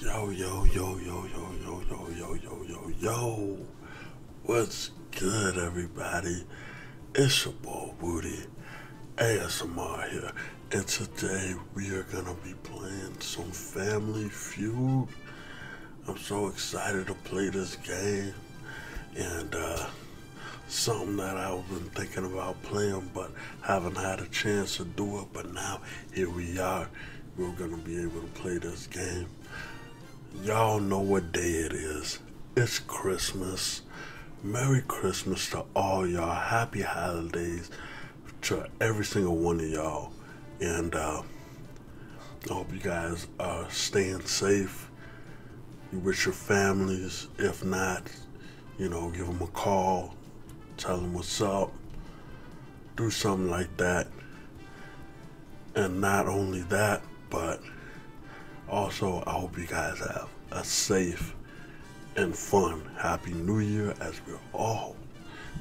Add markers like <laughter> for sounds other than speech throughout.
Yo, yo, yo, yo, yo, yo, yo, yo, yo, yo, yo. What's good, everybody? It's your boy Woody, ASMR here, and today we are gonna be playing some Family Feud. I'm so excited to play this game. And uh, something that I've been thinking about playing but haven't had a chance to do it. But now here we are. We're going to be able to play this game. Y'all know what day it is. It's Christmas. Merry Christmas to all y'all. Happy holidays to every single one of y'all. And uh, I hope you guys are uh, staying safe. you with your families. If not, you know, give them a call, tell them what's up, do something like that. And not only that, but also, I hope you guys have a safe and fun Happy New Year as well all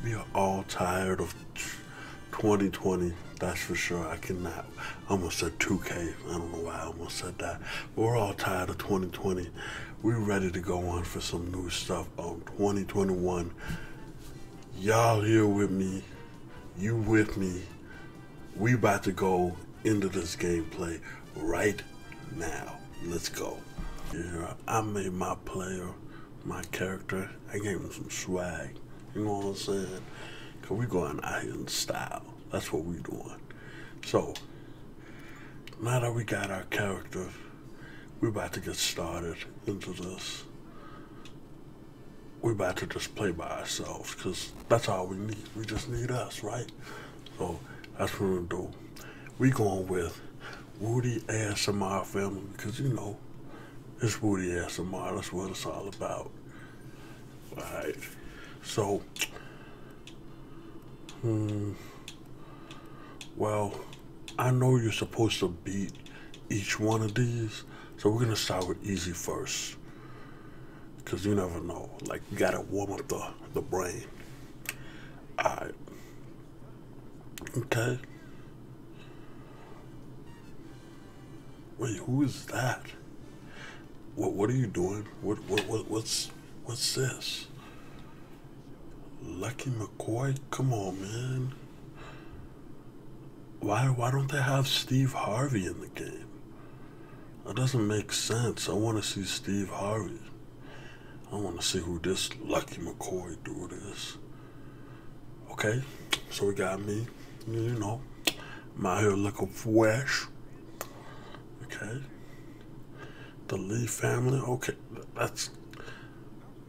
we are all tired of 2020. That's for sure. I cannot. I almost said 2K. I don't know why I almost said that. we're all tired of 2020. We're ready to go on for some new stuff on 2021. Y'all here with me. You with me. We about to go into this gameplay right now. Let's go. I made my player my character. I gave him some swag. You know what I'm saying? Cause we going out here in style. That's what we doing. So now that we got our character, we are about to get started into this. We are about to just play by ourselves, cause that's all we need. We just need us, right? So that's what we do. We going with Woody ASMR family because you know it's Woody ASMR. That's what it's all about. right? So, hmm, well, I know you're supposed to beat each one of these, so we're gonna start with easy first. Cause you never know. Like you gotta warm up the, the brain. Alright. Okay. Wait, who is that? What What are you doing? What What, What's What's this? Lucky McCoy, come on, man. Why Why don't they have Steve Harvey in the game? That doesn't make sense. I want to see Steve Harvey. I want to see who this Lucky McCoy dude is. Okay, so we got me, you know, I'm out here looking fresh. Okay, the Lee family. Okay, that's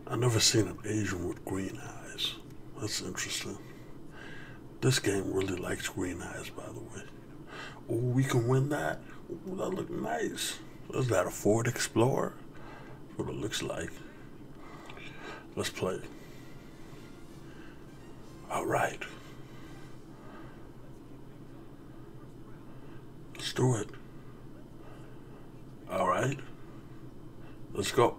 I never seen an Asian with green eyes. That's interesting. This game really likes green eyes, by the way. Oh, we can win that. that look nice. Is that a Ford Explorer? what it looks like. Let's play. All right. Let's do it. All right. Let's go.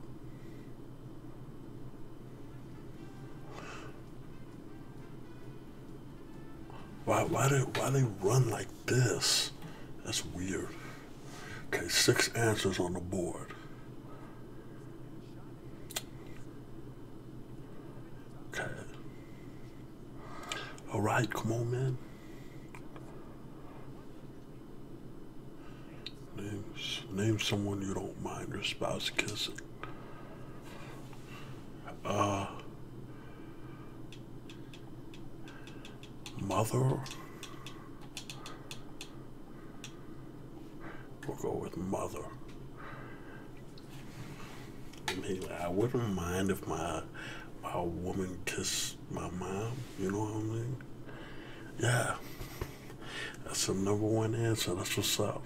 Why, why, do, why they run like this? That's weird. Okay, six answers on the board. Okay. All right, come on, man. Name, name someone you don't mind your spouse kissing. Uh, mother. We'll go with mother. I, wouldn't mind if my my woman kissed my mom. You know what I mean? Yeah. That's the number one answer. That's yourself.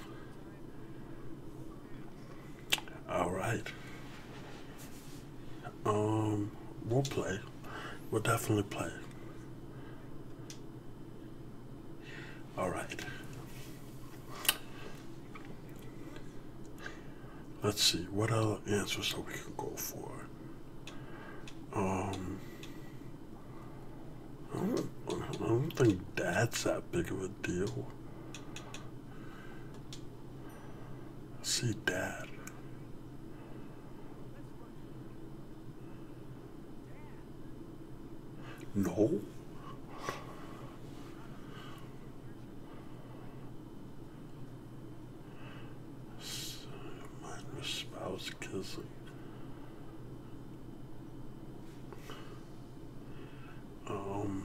All right. Um, we'll play. We'll definitely play. All right. Let's see, what other answers that we can go for? Um, I don't, I don't think that's that big of a deal. See, dad. No. Mine spouse kissing. Um,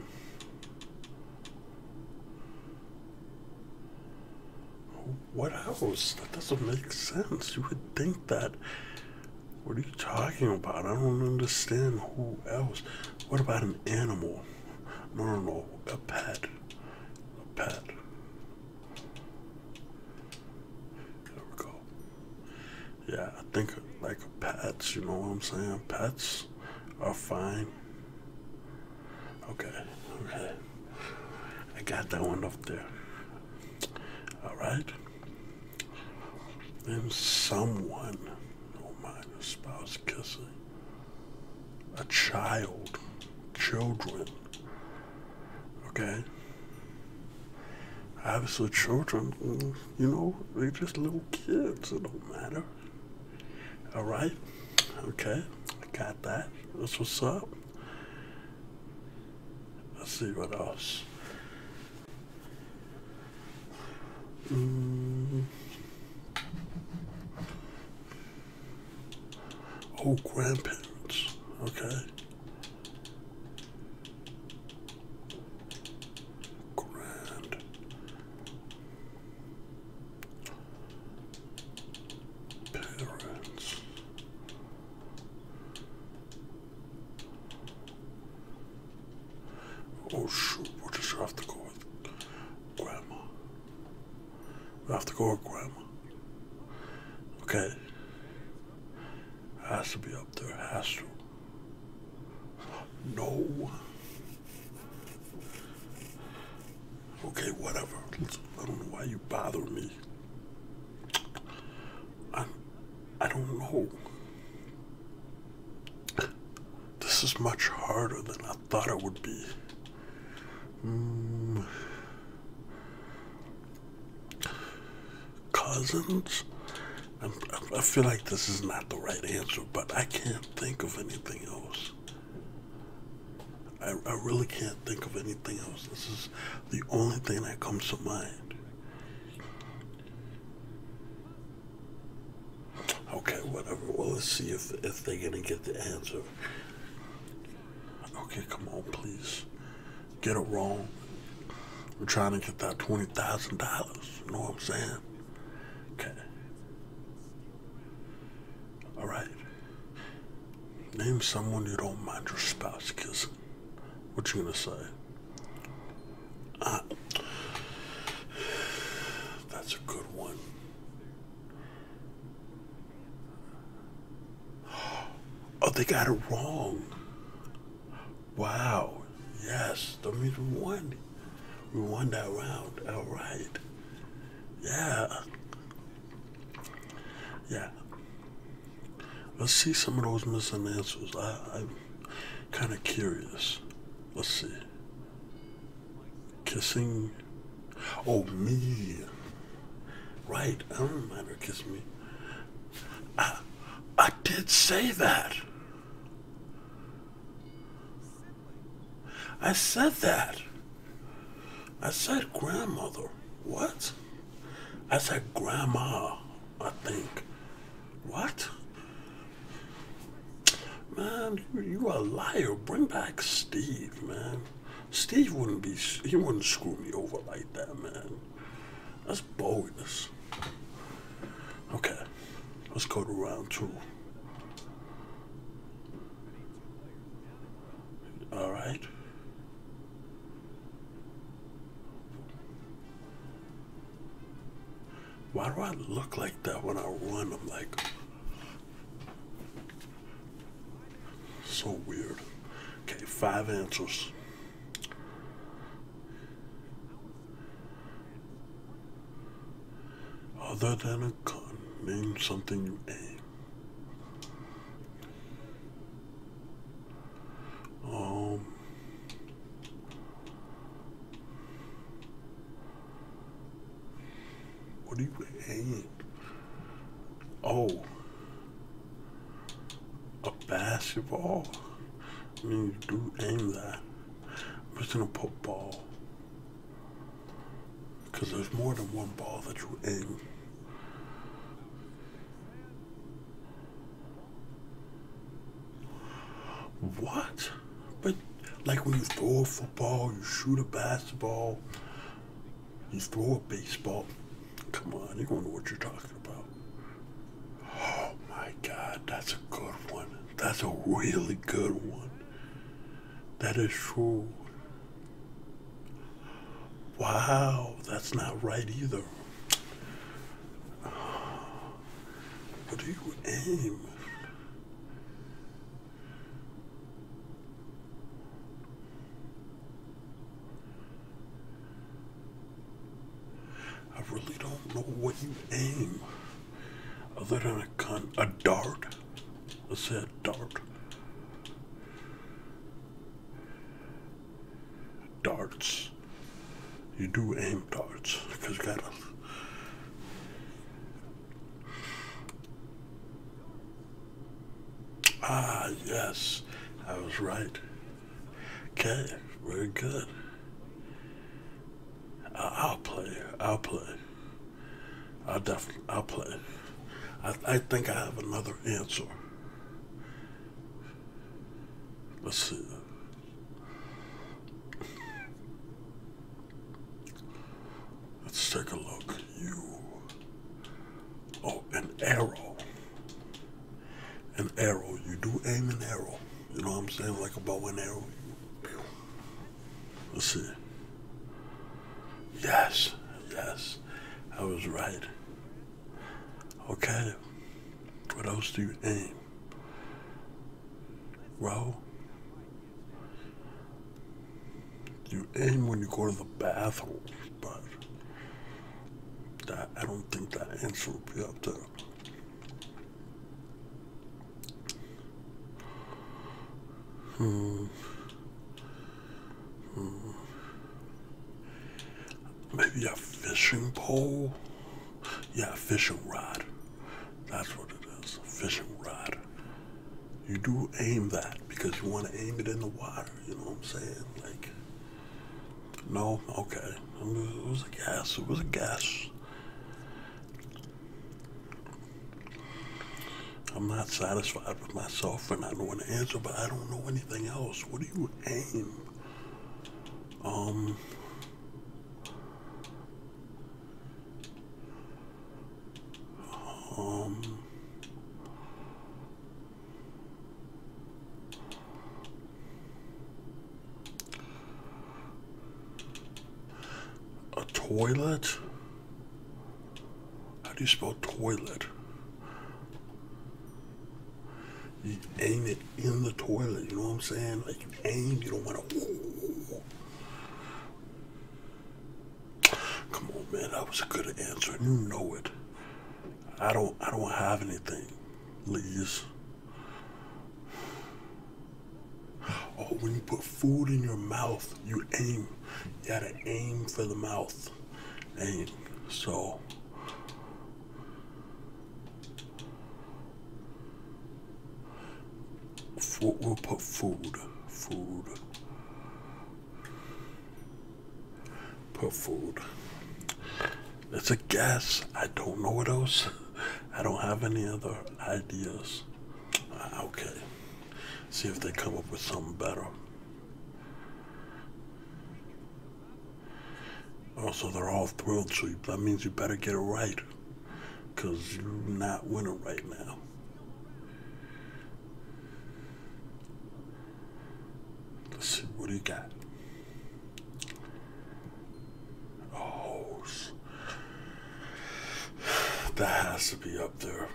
what else? That doesn't make sense. You would think that. What are you talking about? I don't understand who else. What about an animal? No, no, no. A pet. A pet. There we go. Yeah, I think like pets, you know what I'm saying? Pets are fine. Okay, okay. I got that one up there. All right. Then someone, don't oh a spouse kissing, a child, children. Okay. Obviously, children, mm, you know, they're just little kids. It don't matter. All right. Okay. I got that. That's what's up. Let's see what else. Mm. Oh, grandparents. Okay. Grand Parents. Oh shoot, we'll just have to go with grandma. We have to go with grandma. Okay. Has to be up there, has to. No. Okay, whatever. I don't know why you bother me. I, I don't know. This is much harder than I thought it would be. Mm. Cousins? I feel like this is not the right answer, but I can't think of anything else. I, I really can't think of anything else. This is the only thing that comes to mind. Okay, whatever. Well, let's see if, if they're going to get the answer. Okay, come on, please. Get it wrong. We're trying to get that $20,000. You know what I'm saying? Okay. All right. Name someone you don't mind your spouse kissing. What you gonna say? Uh, that's a good one. Oh, they got it wrong. Wow. Yes, the means one. We won that round outright. Yeah. Yeah. Let's see some of those missing answers. I, I'm kind of curious. Let's see. Kissing. Oh, me. Right. I don't remember kiss me. I, I did say that. I said that. I said grandmother. What? I said grandma, I think. What? Man, you, you a liar. Bring back Steve, man. Steve wouldn't be, he wouldn't screw me over like that, man. That's bogus. Okay, let's go to round two. All right. Why do I look like that when I run? I'm like, so weird. Okay, five inches. Other than a gun, name something you aim. Um, what do you aim? Oh, a basketball. I mean, you do aim that. I'm just gonna put because there's more than one ball that you aim. What? But like when you throw a football, you shoot a basketball, you throw a baseball. Come on, you don't know what you're talking about. Oh my god, that's a good one. That's a really good one. That is true. Wow, that's not right either. What do you aim? I really don't know what you aim. Other than a con a dart. I said dart. Darts. You do aim darts because you gotta Ah, yes, I was right. Okay, very good. I'll play. I'll play. I'll definitely. I'll play. I, I think I have another answer. Let's see. Let's take a look. You. Oh, an arrow. An arrow. You do aim an arrow. You know what I'm saying? Like a bow and arrow. Let's see. Yes, yes, I was right. Okay, what else do you aim? Well, you aim when you go to the bathroom, but that, I don't think that answer will be up there. Hmm. Maybe a fishing pole? Yeah, fishing rod. That's what it is. Fishing rod. You do aim that because you want to aim it in the water. You know what I'm saying? Like, no, okay. It was a guess. It was a guess. I'm not satisfied with myself and I know an answer, but I don't know anything else. What do you aim? Um, um, a toilet? How do you spell toilet? You aim it in the toilet, you know what I'm saying? Like you aim, you don't want to. Come on, man, that was a good answer. You know it. I don't I don't have anything, Lees. Oh, when you put food in your mouth, you aim. You gotta aim for the mouth. Aim. So. We'll put food. Food. Put food. It's a guess. I don't know what else <laughs> I don't have any other ideas. Uh, okay. See if they come up with something better. Also, oh, they're all thrilled, so that means you better get it right. Because you're not winning right now. Let's see what he got. Oh, that has to be up there.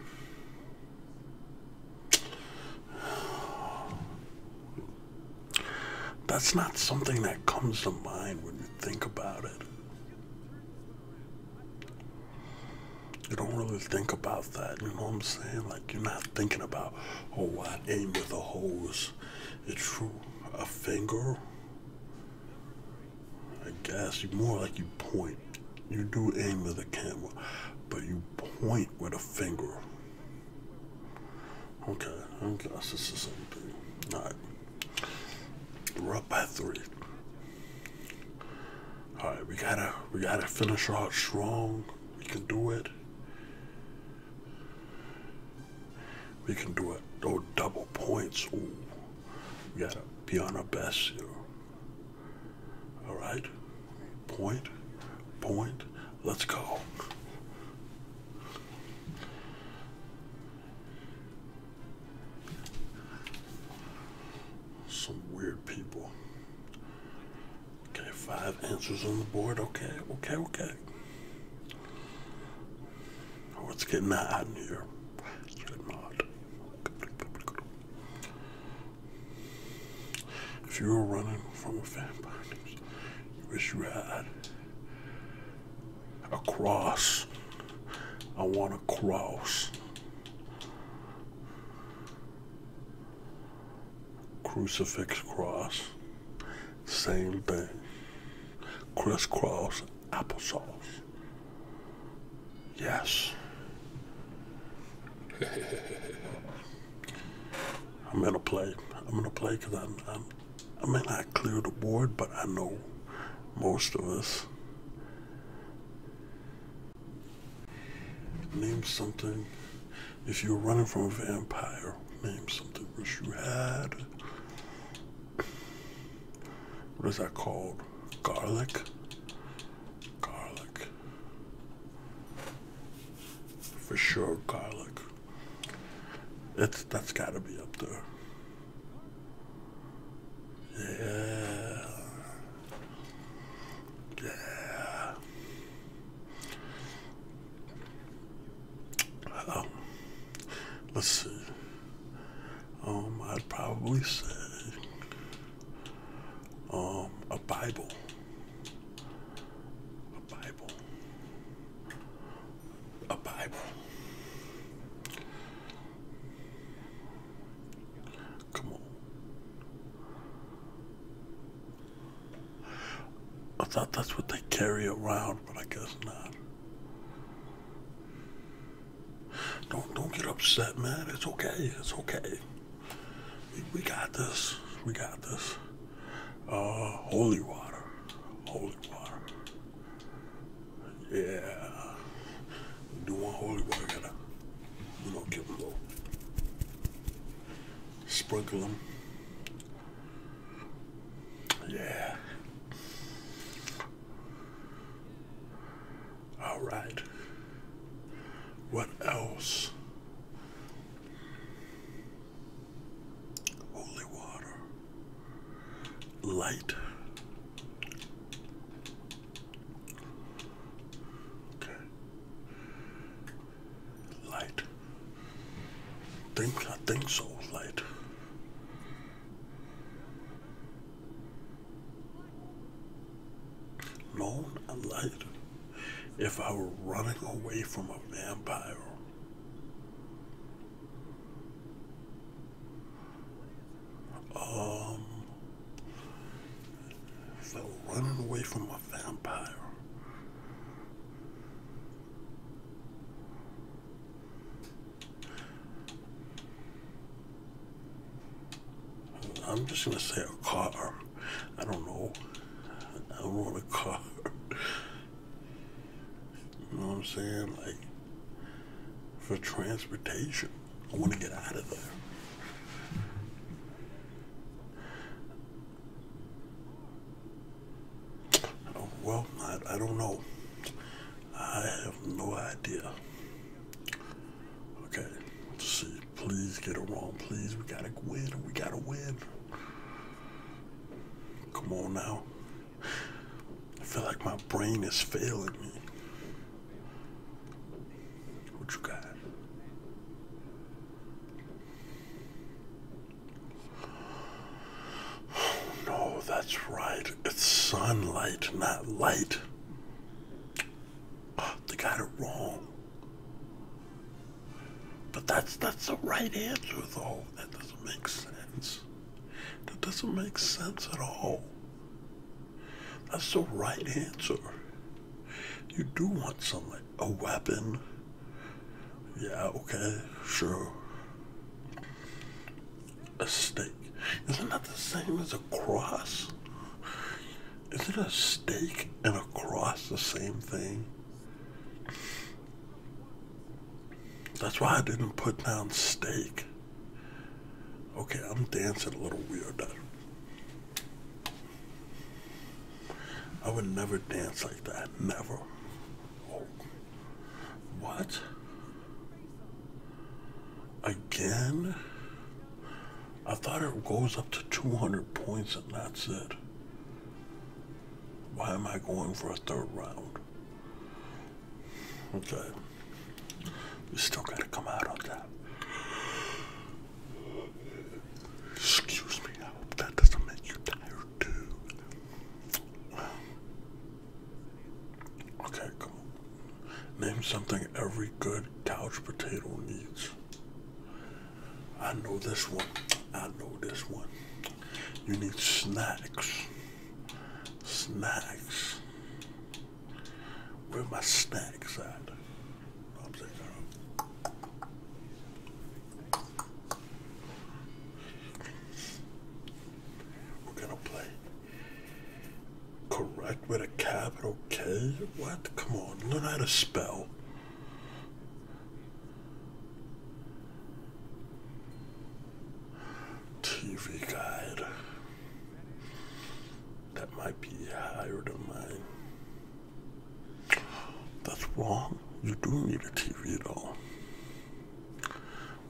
That's not something that comes to mind when you think about it. You don't really think about that, you know what I'm saying? Like, you're not thinking about, oh, I aim with a hose. It's true. A finger I guess you more like you point. You do aim with a camera, but you point with a finger. Okay, I guess it's the same thing. Alright. We're up by three. Alright, we gotta we gotta finish out strong. We can do it. We can do it. Oh, double points. Ooh. We gotta be on our best here. All right. Point, point. Let's go. Some weird people. Okay, five answers on the board. Okay, okay, okay. Oh, I was getting that in here. If you were running from a vampire, you wish you had a cross. I want a cross. Crucifix cross. Same thing. Crisscross applesauce. Yes. <laughs> I'm gonna play. I'm gonna play because I'm, I'm. I may not clear the board, but I know most of us name something. If you're running from a vampire, name something which you had what is that called? Garlic? Garlic. For sure, garlic. It's that's gotta be up there. Yeah. Yeah. Um, let's see. Um, I'd probably say um, a Bible. A Bible. A Bible. Come on. I thought that's what they carry around but I guess not. Don't don't get upset, man. It's okay. It's okay. We, got this. We got this. Uh, holy water. Holy water. Yeah. do one holy water. Gotta, you know, give them a Sprinkle them. Yeah. All right. What else? Holy water. Light. Okay. Light. Think, I think so, right? No, not light. If I were running away from a vampire, um, if I were running away from a vampire, I'm just going to say a car. I don't know. I want a car. you know what I'm saying? Like, for transportation. I want to get out of there well, I, I don't know. I have no idea. Okay, see. Please get it wrong. Please, we gotta win. We gotta win. Come on now. I feel like my brain is failing me. What you got? no, that's right. It's sunlight, not light. Ah, they got it wrong. But that's that's the right answer, though. That doesn't make sense. That doesn't make sense at all. That's the right answer. You do want sunlight a weapon. Yeah, okay, sure. A stake. Isn't that the same as a cross? is it a stake and a cross the same thing? That's why I didn't put down stake. Okay, I'm dancing a little weird. I would never dance like that, never. What? Again? I thought it goes up to 200 points and that's it. Why am I going for a third round? Okay. you still gotta come out on that. Excuse me, I hope that doesn't make you tired. YouTube. Um, okay, cool. Name something every good couch potato needs. I know this one. I know this one. You need snacks. Snacks. Where my snacks at? We're gonna play correct with a capital K? What? Come on, learn how to spell. TV guide. That might be higher than mine. That's wrong. You do need a TV at all.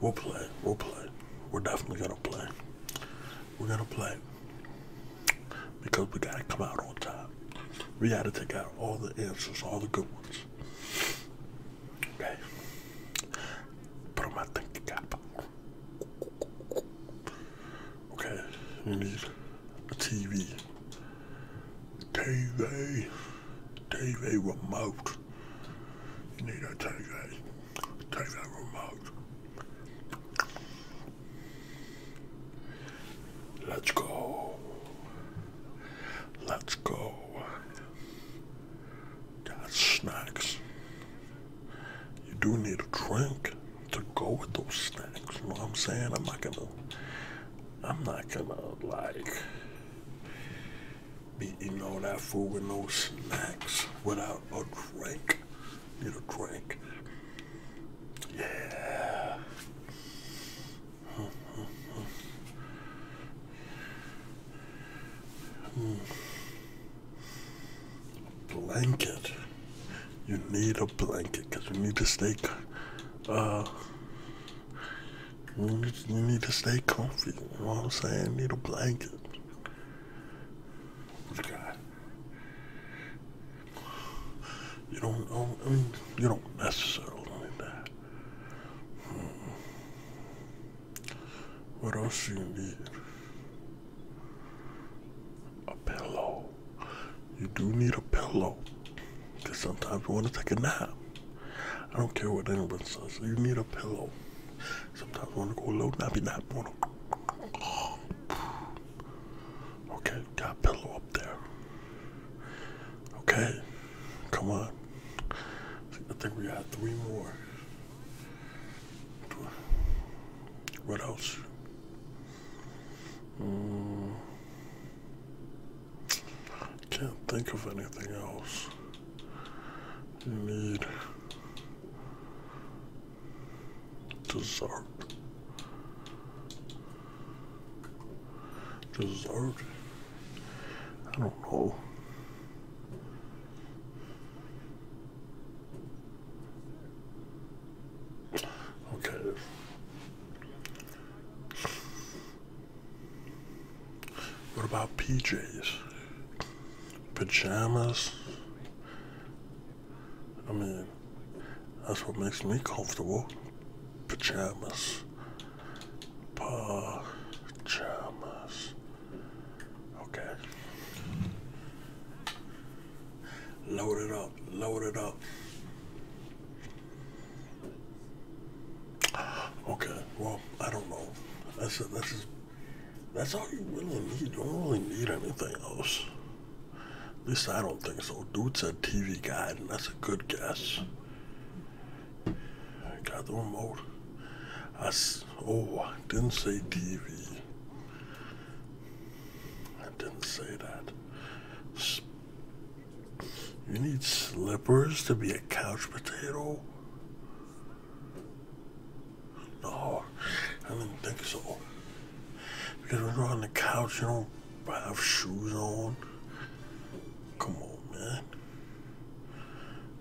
We'll play. We'll play. We're definitely gonna play. We're gonna play. Because we gotta come out on top. We gotta take out all the answers, all the good ones. Okay. Put them out think the Okay, you need a TV. TV, TV remote. You need a TV, TV remote. Let's go. Let's go. Got snacks. You do need a drink to go with those snacks. You know what I'm saying? I'm not gonna I'm not gonna like be eating all that food with no snacks without a drink. Need a drink. Yeah. Hmm. Blanket. You need a blanket because we need to stay uh, you need to stay comfy. You know what I'm saying? Need a blanket. Okay. You don't I mean, you don't necessarily need that. Hmm. What else do you need? A pillow you do need a pillow because sometimes you want to take a nap. I don't care what anyone says, you need a pillow. Sometimes you want to go alone and nap. Wanna... <sighs> Okay, got a pillow up there. Okay, come on. I think we got three more. What else? Mm. Can't think of anything else you need. Dessert. Dessert? I don't know. Okay. What about PJs? Pajamas? I mean, that's what makes me comfortable. Pajamas. Pajamas. Okay. Load it up. Load it up. Okay, well, I don't know. I said that's all you really need. You don't really need anything else. At least I don't think so. Dude said TV guide, and that's a good guess. got the remote. I s- oh, didn't say TV. I didn't say that. You need slippers to be a couch potato? No, I do not think so. Because when you're on the couch, you don't have shoes on. Come on, man.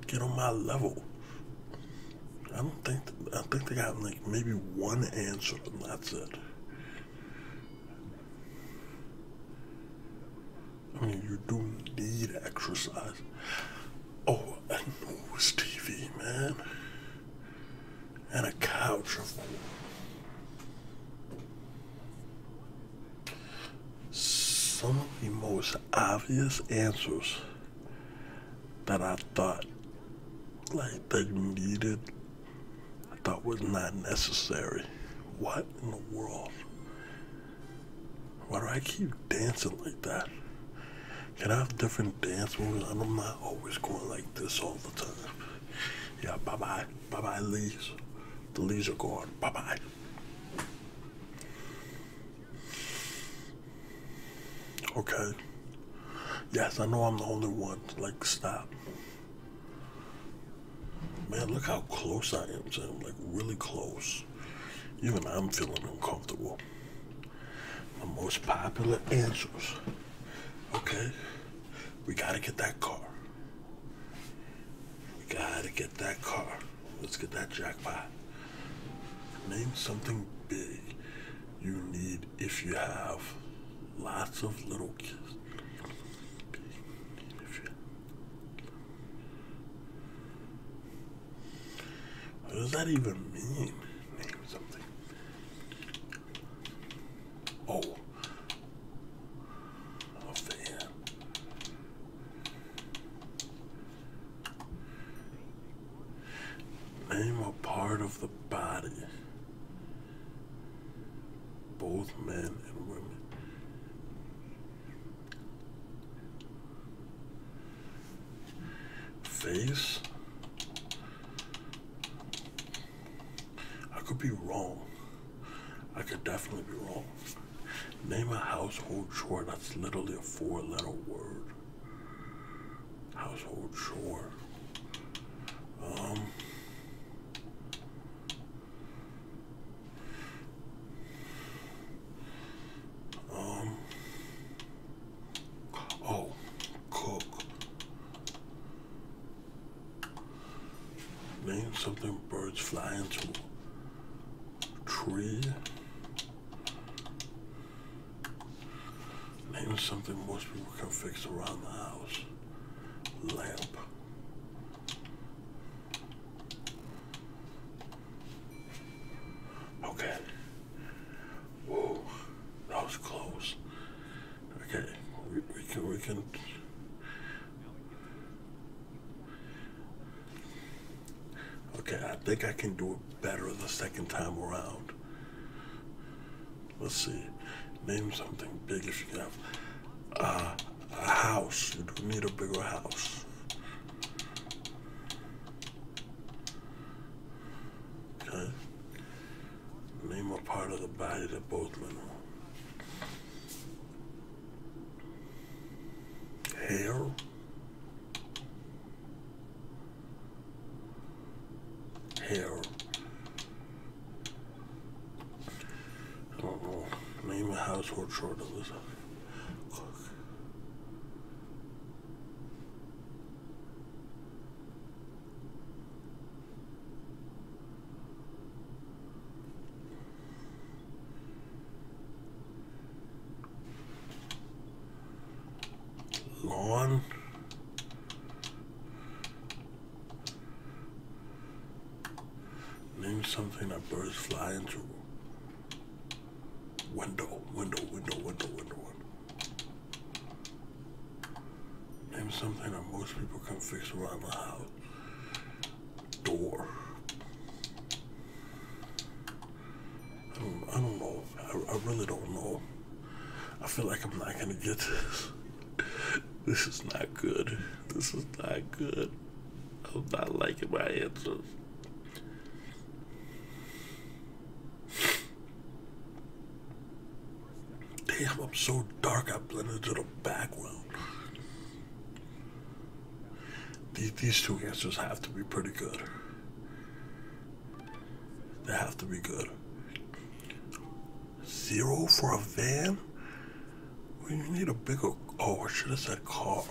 Get on my level. I don't think, I think they got like maybe one answer and that's it. I mean, you do need exercise. Oh, a news TV, man. And a couch, of course. Some of the most obvious answers that I thought like they needed I thought was not necessary. What in the world? Why do I keep dancing like that? Can I have different dance moves? I'm not always going like this all the time. Yeah, bye bye. Bye bye, Lees. The Lees are gone. Bye bye. Okay. Yes, I know I'm the only one. Like, stop. Man, look how close I am to him. Like, really close. Even I'm feeling uncomfortable. The most popular answers. Okay? We gotta get that car. We gotta get that car. Let's get that jackpot. Name something big you need if you have lots of little kids. What does that even mean? Name something. Oh. Off the Name a part of the body both men and women. Face. I could be wrong. I could definitely be wrong. Name a household chore that's literally a four letter word. Household chore. Um, um, oh, cook. Name something birds fly into. Tree. Name something most people can fix around the house lamp. Okay. Whoa, that was close. Okay, we, can we can. Okay, I think I can do it better the second time around. Let's see. Name something big if you have uh, a house. You do need a bigger house. Okay. Name a part of the body that both men have. Hair. Hair. I don't know. Name a household short of this. lawn Name something that birds fly into. Window, window, window, window, window, Name something that most people can fix around the house. Door. I don't, know. I really don't know. I feel like I'm not gonna get this. This is not good. This is not good. I'm not liking my answers. Damn, I'm so dark I blend into the background. These, these two answers have to be pretty good. They have to be good. Zero for a van? We need a bigger. Oh, I should have said car.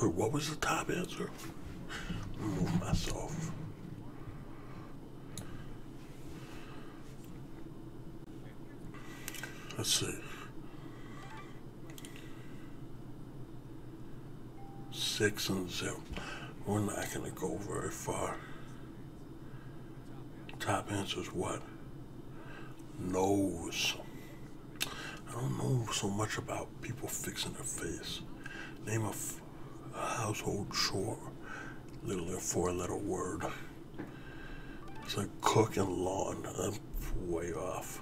Wait, what was the top answer? Move myself. Let's see six and zip. We're not going to go very far. Top answer is what? Nose. I don't know so much about people fixing their face. Name of a household chore, literally a four-letter word. It's like cook and lawn. I'm way off.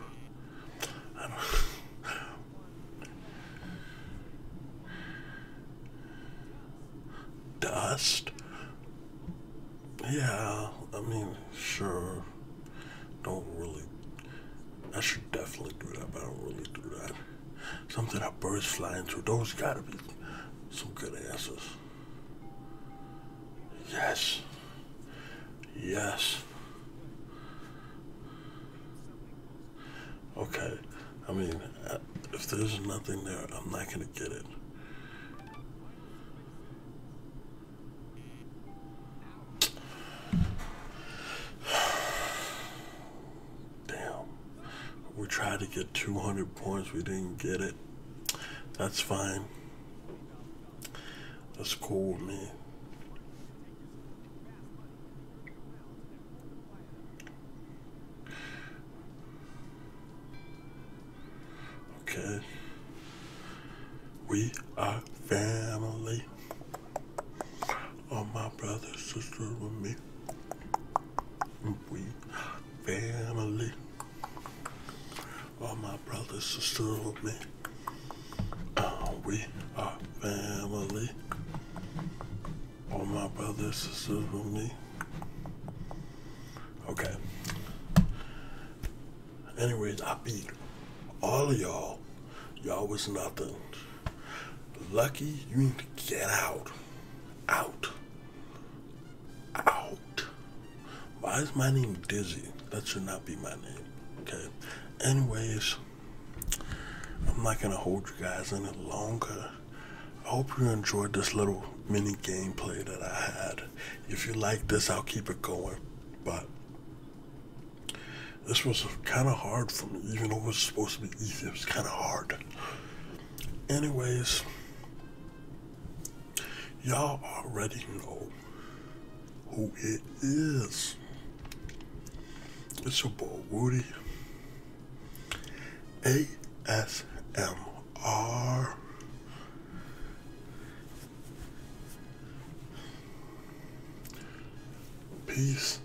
Dust? Yeah, I mean, sure. Don't really. I should definitely do that, but I don't really do that. Something that birds flying through. Those gotta be some good answers. Yes. Yes. Okay. I mean, uh, if there's nothing there, I'm not going to get it. Damn. We tried to get 200 points. We didn't get it. That's fine. That's cool with me. Okay. We are family. All my brothers, sisters, with me. We family. All my brothers, sisters, with me. we are family, all my brothers, sisters with me. Okay. Anyways, I beat all of y'all. Y'all was nothing. Lucky, you ain't to get out. Out. Out. Why is my name Dizzy? That should not be my name. Okay. Anyways, I'm not going to hold you guys any longer. I hope you enjoyed this little mini gameplay that I had. If you like this, I'll keep it going. But this was kind of hard for me, even though it was supposed to be easy. It was kind of hard. Anyways, y'all already know who it is. It's your boy Woody. ASMR. Peace.